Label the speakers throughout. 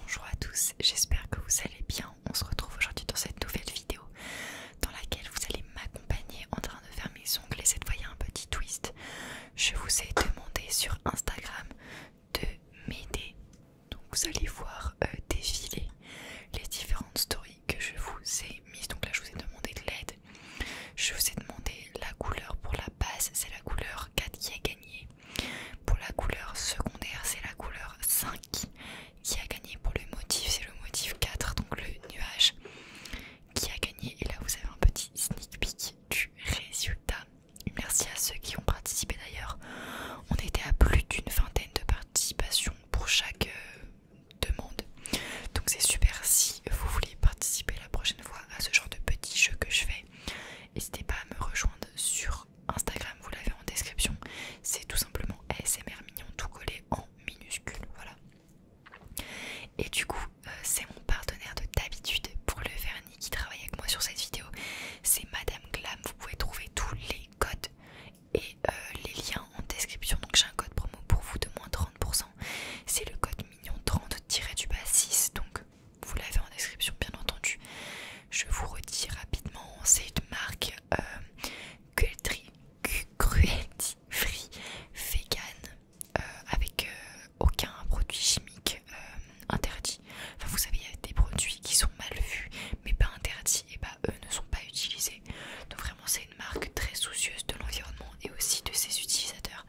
Speaker 1: Bonjour à tous, j'espère que vous allez bien. On se retrouve aujourd'hui dans cette nouvelle vidéo dans laquelle vous allez m'accompagner en train de faire mes ongles et cette fois il y a un petit twist. Je vous ai demandé sur Instagram de m'aider. Donc vous allez voir euh, défiler les différentes stories que je vous ai mises. Donc là je vous ai demandé de l'aide je vous ai demandé la couleur pour la base c'est la couleur 4 qui a gagné pour la couleur secondaire c'est la couleur 5 qui a gagné pour le motif c'est le motif 4 donc le nuage qui a gagné et là vous avez un petit sneak peek du résultat merci à ceux qui ont participé d'ailleurs on était à plus d'une vingtaine de participations pour chaque euh, demande donc c'est super si vous voulez participer la prochaine fois à ce genre de petits jeux que je fais. N'hésitez pas à me rejoindre sur Instagram, vous l'avez en description. C'est tout simplement ASMR mignon tout collé en minuscule. Voilà. Et du coup, euh, c'est mon partenaire de d'habitude pour le vernis qui travaille avec moi sur cette vidéo. C'est Madame Glam. Vous pouvez trouver tous les codes et euh, les liens en description. Donc j'ai un code promo pour vous de moins 30%. C'est le code mignon 30-6 donc vous l'avez en description bien entendu je vous redis rapidement c'est une marque euh, cruelty free vegan euh, avec euh, aucun produit chimique interdit enfin vous savez il y a des produits qui sont mal vus mais pas interdits et bah eux ne sont pas utilisés donc vraiment c'est une marque très soucieuse de l'environnement et aussi de ses utilisateurs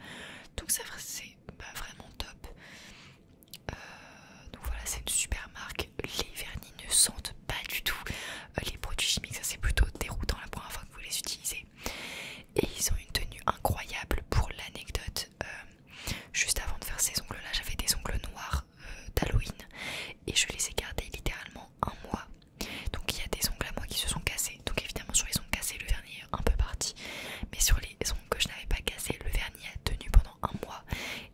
Speaker 1: donc ça c'est vraiment top euh, donc voilà c'est une super marque les vernis ne sentent pas du tout euh, les produits chimiques ça c'est plutôt déroutant la première fois que vous les utilisez et ils ont une tenue incroyable pour l'anecdote euh, juste avant de faire ces ongles là j'avais des ongles noirs d'Halloween et je les ai gardés littéralement un mois donc il y a des ongles à moi qui se sont cassés. Donc évidemment sur les ongles cassés le vernis est un peu parti. Mais sur les ongles que je n'avais pas cassés, le vernis a tenu pendant un mois.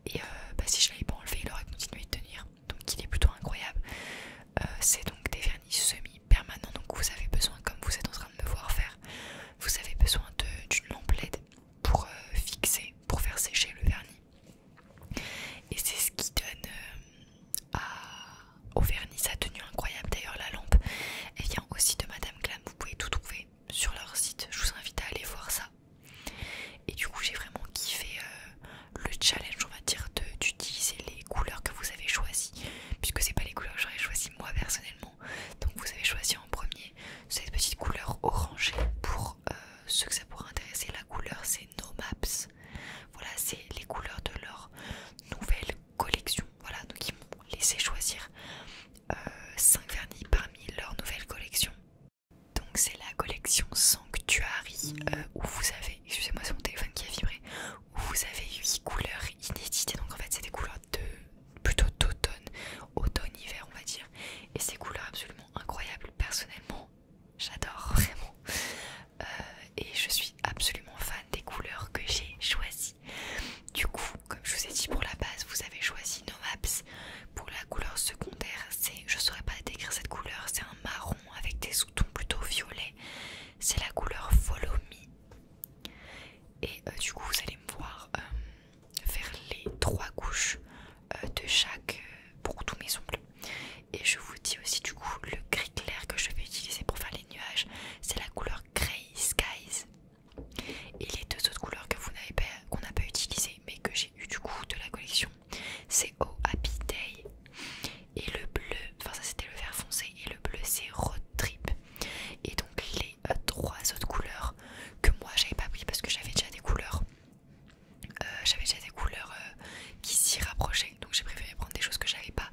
Speaker 1: Et euh, bah, si je l'avais pas enlevé, il aurait continué de tenir. Donc il est plutôt incroyable. Euh, c'est donc des vernis semi-permanents. Donc vous avez besoin, comme vous êtes en train de me voir faire, vous avez besoin d'une lampe LED pour euh, fixer, pour faire sécher le vernis. Et c'est ce qui donne au vernis, sa tenue incroyable d'ailleurs, la lampe, elle vient aussi de Madame Glam, vous pouvez tout trouver sur leur site, je vous invite à aller voir ça. Et du coup j'ai vraiment kiffé euh, le challenge on va dire d'utiliser les couleurs que vous avez choisies, puisque c'est pas les couleurs que j'aurais choisies moi personnellement, donc vous avez choisi en premier cette petite couleur orangée pour euh, ceux que ça pourrait intéresser, la couleur c'est No Maps. Voilà, c'est les couleurs de leur nouvelle collection. Voilà, donc ils m'ont laissé choisir 5 euh, vernis parmi leur nouvelle collection. Donc c'est la collection Sanctuary euh, où vous avez, excusez-moi c'est mon téléphone qui a vibré, où vous avez 8 couleurs inédites, Donc en fait c'est des couleurs de plutôt d'automne, automne-hiver on va dire. Et ces couleurs absolument incroyables personnellement. J'adore vraiment. Euh, et je suis absolument fan des couleurs que j'ai choisies. Du coup, comme je vous ai dit pour la base, vous avez choisi Novaps Pour la couleur secondaire, c'est, je saurais pas décrire cette couleur, c'est un marron avec des sous-tons plutôt violets. C'est la couleur Follow Me. Et euh, du coup, vous allez me voir euh, faire les trois couches de chaque pour tous mes ongles. Et je vous dis aussi du coup le gris clair que je vais utiliser pour faire les nuages, c'est la couleur Grey Skies. Et les deux autres couleurs que vous n'avez pas, qu'on n'a pas utilisé mais que j'ai eu du coup de la collection, c'est Oh Happy Day et le bleu, enfin ça c'était le vert foncé et le bleu c'est Road Trip. Et donc les euh, trois autres couleurs que moi j'avais pas pris parce que j'avais déjà des couleurs, euh, j'avais déjà des couleurs euh, qui s'y rapprochaient donc j'ai préféré prendre des choses que j'avais pas.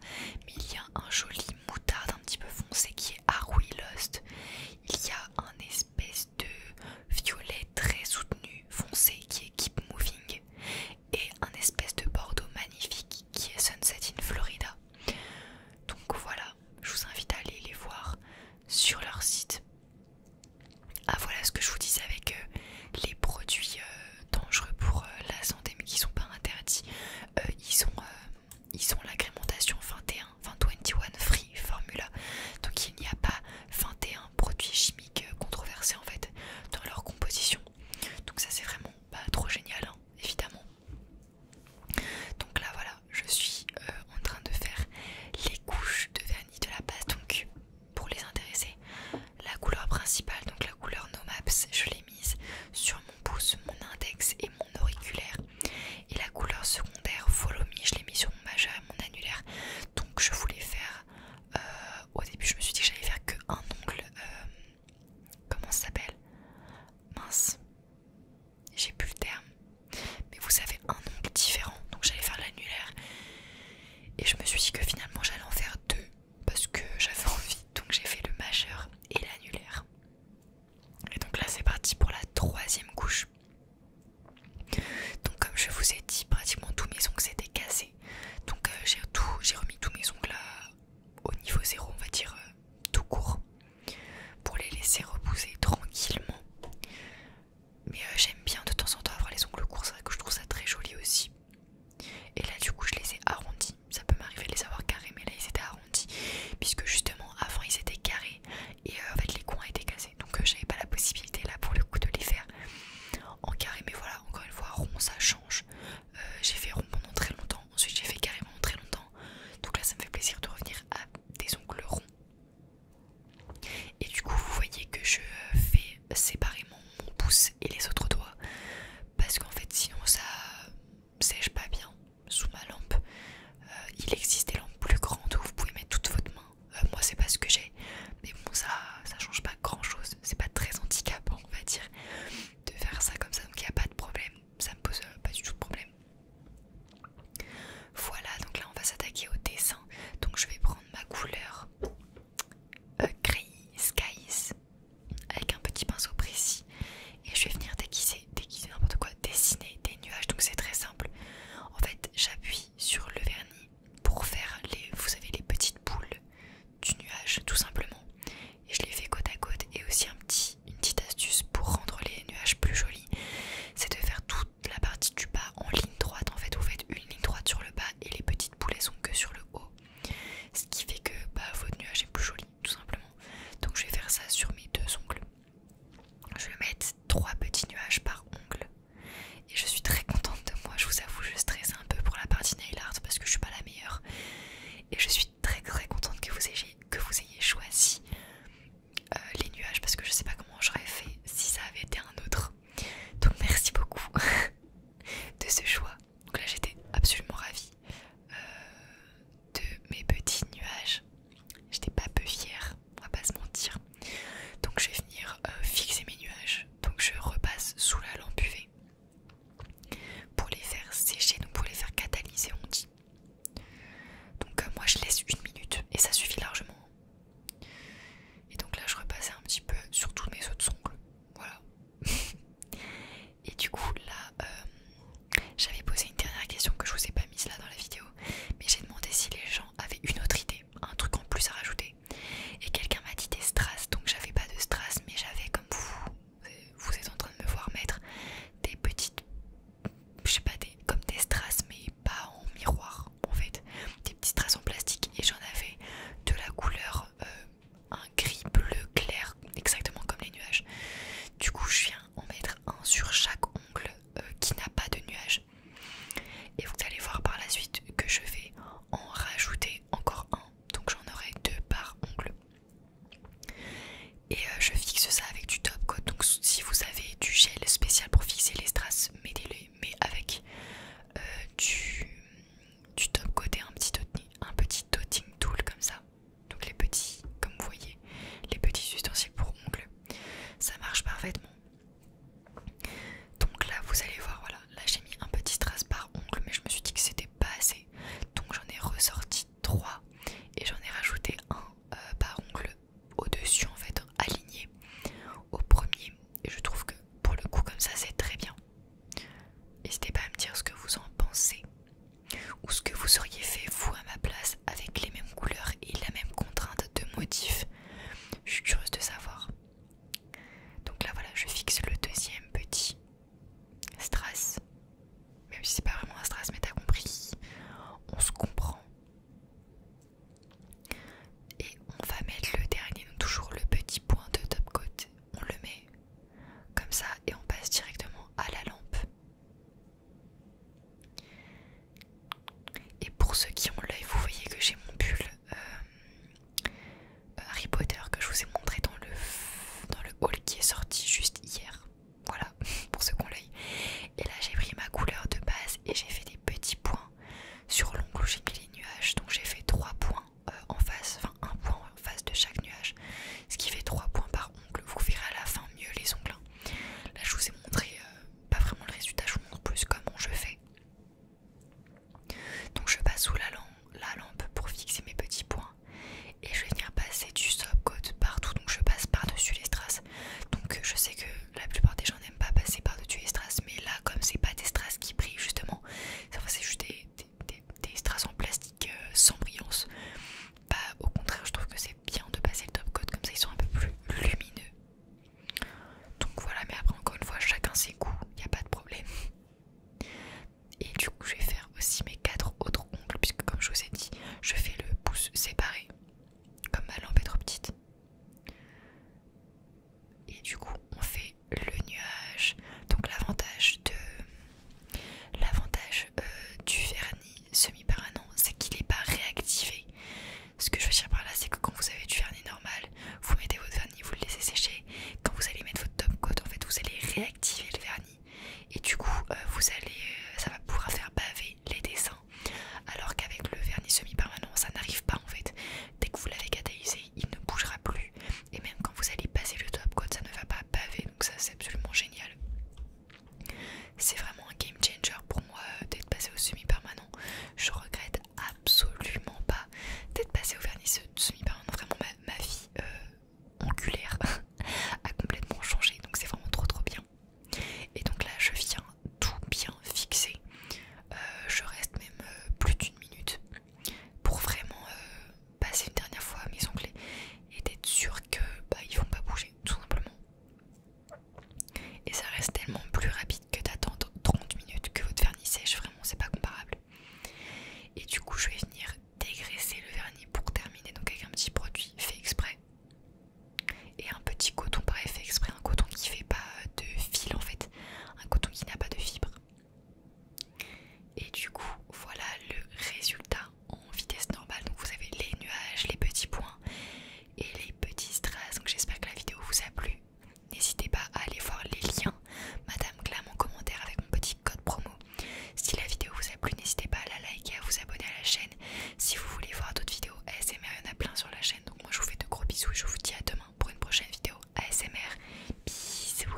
Speaker 1: Mais il y a un joli moutarde un petit peu foncé qui est Harry Lost. Il y a un espèce de violet très soutenu foncé qui est Keep Moving et un espèce de bordeaux magnifique qui est Sunset in Florida. Donc voilà, je vous invite à aller les voir sur leur site. Ah voilà ce que je vous disais avec euh, les produits euh, dangereux pour euh, la santé mais qui sont pas interdits. Euh, ils ont, euh, ils ont l'agrémentation 21, 21 free formula. Donc il n'y a pas 21 produits chimiques controversés en fait dans leur composition. Donc ça c'est vraiment pas trop génial hein, évidemment. Donc là voilà, je suis en train de faire les couches de vernis de la base. Donc pour les intéresser, la couleur principale, donc la couleur No Maps, je l'ai mise sur mon pouce, mon index et mon auriculaire. Et la couleur secondaire Follow Me, je l'ai mis sur mon majeur et mon annulaire. Donc je voulais faire... Euh, au début je me suis dit que j'allais faire qu'un ongle... Euh, comment ça s'appelle Mince. J'ai plus le terme. Mais vous savez, un ongle différent. Donc j'allais faire l'annulaire. Et je me suis dit que finalement j'allais en faire deux parce que j'avais envie, donc j'ai fait le majeur et l'annulaire. Et donc là c'est parti pour la troisième couche. Donc comme je vous ai dit, pratiquement tous mes ongles étaient cassés. Donc euh, j'ai remis tous mes ongles là euh, au niveau zéro, on va dire euh, tout court, pour les laisser repousser tranquillement. Mais j'aime bien de temps en temps avoir les ongles courts, c'est que je trouve ça très joli aussi. Et là, du coup, je les ai arrondis. Ça peut m'arriver de les avoir carrés, mais là, ils étaient arrondis. Puisque justement, avant, ils étaient carrés. Et euh, en fait, les coins étaient cassés. Donc, euh, j'avais pas la possibilité, là, pour le coup, de les faire en carré. Mais voilà, encore une fois, rond, ça change. Euh, j'ai fait rond pendant très longtemps. Ensuite, j'ai fait carré pendant très longtemps. Donc là, ça me fait plaisir de revenir à des ongles ronds. Et du coup, vous voyez que je fais séparément mon pouce et les autres doigts parce qu'en fait, sinon ça sèche pas bien sous ma lampe. Euh, il existe des lampes plus grandes où vous pouvez mettre toute votre main. Euh, moi, c'est pas ce que j'ai, mais bon, ça ça change pas grand chose. C'est pas très handicapant, on va dire, de faire ça comme ça. Donc, il n'y a pas de problème, ça me pose euh, pas du tout de problème. Voilà, donc là, on va s'attaquer au dessin. Donc, je vais prendre ma couleur gris skies avec un petit pinceau précis et je vais venir déguiser, déguiser n'importe quoi, dessiner des nuages. Donc c'est très simple. En fait, j'appuie sur le vernis pour faire les, vous savez, les petites boules du nuage, tout simplement. Et je les fais côte à côte. Et aussi un petit, une petite astuce pour rendre les nuages plus jolis, c'est de faire toute la partie du bas en ligne droite. En fait, vous faites une ligne droite sur le bas et les petites boules sont que sur le haut. Ce qui fait que bah, votre nuage est plus joli tout simplement. Donc je vais faire ça sur mes deux ongles. Je vais mettre trois petits nuages par ongle. Et je suis très contente de moi, je vous avoue, je stresse un peu pour la partie nail art parce que je suis pas la meilleure. Et je suis très très contente que vous ayez, que vous ayez choisi euh, les nuages parce que je sais pas comment j'aurais fait si ça avait été un autre. Donc merci beaucoup de ce choix. Donc là j'étais absolument ravie euh, de mes petits nuages. J'étais pas peu fière, on va pas se mentir. Donc je vais venir euh, fixer mes nuages. Donc je repasse sous la lampe UV pour les faire sécher, donc pour les faire catalyser on dit. Donc euh, moi je laisse une minute et ça suffit largement. Et donc là je repasse un petit peu sur tous mes autres ongles. Voilà. Et du coup, là, euh, j'avais posé une dernière question que je vous ai pas mise là dans la vidéo, mais j'ai demandé si les gens avaient une autre idée, un truc en plus à rajouter. Et quelqu'un m'a dit des strass, donc j'avais pas de strass, mais j'avais comme vous, vous êtes en train de me voir mettre des petites, je sais pas, des, comme des strass, mais pas en miroir en fait, des petites strass en plastique. Et j'en avais de la couleur euh, un gris bleu clair, exactement comme les nuages. Du coup, je viens en mettre un sur chaque ongle euh, qui n'a pas de nuage Et vous allez voir par la suite que je vais en rajouter encore un. Donc j'en aurai deux par ongle. Et euh, je fixe ça avec du top coat. Donc si vous avez du gel spécial pour fixer les strass, mettez-les. Mais avec du, top coat et un petit, un petit dotting tool comme ça donc les petits, comme vous voyez, les petits ustensiles pour ongles. Ça marche parfaitement. Donc là, vous allez voir, voilà, là j'ai mis un petit trace par ongle, mais je me suis dit que c'était pas assez. Donc j'en ai ressorti trois, et j'en ai rajouté un euh, par ongle au-dessus, en fait, aligné au premier. Et je trouve que pour le coup, comme ça, c'est très bien. N'hésitez pas à me dire ce que vous en pensez ou ce que vous auriez fait vous à ma place avec les mêmes couleurs et la même contrainte de motif. Je suis curieuse de savoir. Donc là voilà, je fixe le deuxième petit strass. Même si c'est pas vraiment un strass, mais t'as compris. On se comprend. Et on va mettre le dernier, donc toujours le petit point de top coat. On le met comme ça, et on passe directement à la lampe. Et pour ceux qui ont l'œil, vous voyez que j'ai mon pull euh, euh, Harry Potter que je vous ai montré dans le, dans le haul qui est sorti juste hier. Voilà, pour ceux qui ont l'œil. Et là, j'ai pris ma couleur de base et j'ai fait des petits points sur l'ongle où j'ai mis les nuages. Donc j'ai fait trois points euh, en face, enfin un point en face de chaque nuage, ce qui fait trois points par ongle. Vous verrez à la fin mieux les ongles. Là, je vous ai montré euh, pas vraiment le résultat, je vous montre plus comment je fais. Donc, je passe sous la lampe, la lampe pour fixer mes petits points et je vais venir passer du coat partout. Donc, je passe par-dessus les strass. Donc, je sais que la plupart des gens n'aiment pas passer par-dessus les strass, mais là, comme c'est pas des strass qui brillent justement, c'est juste des des, strass en plastique euh, sans brillance. Bah, au contraire, je trouve que c'est bien de passer le top coat comme ça, ils sont un peu plus lumineux. Donc voilà, mais après, encore une fois, chacun ses goûts, il n'y a pas de problème. Et du coup, je vais faire aussi mes quatre autres ongles, puisque comme je vous ai dit, je fais le pouce séparé, comme ma lampe est trop petite. Et du coup, on fait le nuage. Donc, l'avantage de L'avantage euh, du vernis semi permanent c'est qu'il n'est pas réactivé. Ce que je veux dire par là, c'est que quand vous avez du vernis normal, vous mettez votre vernis, vous le laissez sécher. Quand vous allez mettre votre top coat, en fait, vous allez réactiver le vernis. Et du coup, euh, vous allez, euh, ça va pouvoir faire baver les dessins. Alors qu'avec le vernis semi-permanent, ça n'arrive pas en fait. Dès que vous l'avez catalysé, il ne bougera plus. Et même quand vous allez passer le top coat, ça ne va pas baver donc ça c'est absolument génial. C'est vraiment un game changer pour moi euh, d'être passé au semi-permanent. Je regrette absolument pas d'être passé au vernis semi-permanent. Vraiment, ma, vie euh, angulaire a complètement changé, donc c'est vraiment trop trop bien. Et donc là, je viens tout bien fixer. Euh, je reste même plus d'une minute pour vraiment passer une dernière fois à mes onglets et d'être sûr que bah, ils vont pas bouger tout simplement et ça reste tellement plus rapide que d'attendre 30 minutes que votre vernis sèche vraiment c'est pas comparable et du coup je vais venir dégraisser le vernis pour terminer donc avec un petit produit fait exprès et un petit coton pareil fait exprès un coton qui fait pas de fil en fait un coton qui n'a pas de fibre et du coup, voilà le résultat en vitesse normale. Donc vous avez les nuages, les petits points et les petits strass. Donc j'espère que la vidéo vous a plu. N'hésitez pas à aller voir les liens, Madame Glam en commentaire avec mon petit code promo. Si la vidéo vous a plu, n'hésitez pas à la liker, et à vous abonner à la chaîne. Si vous voulez voir d'autres vidéos ASMR, il y en a plein sur la chaîne. Donc moi je vous fais de gros bisous et je vous dis à demain pour une prochaine vidéo ASMR. Bisous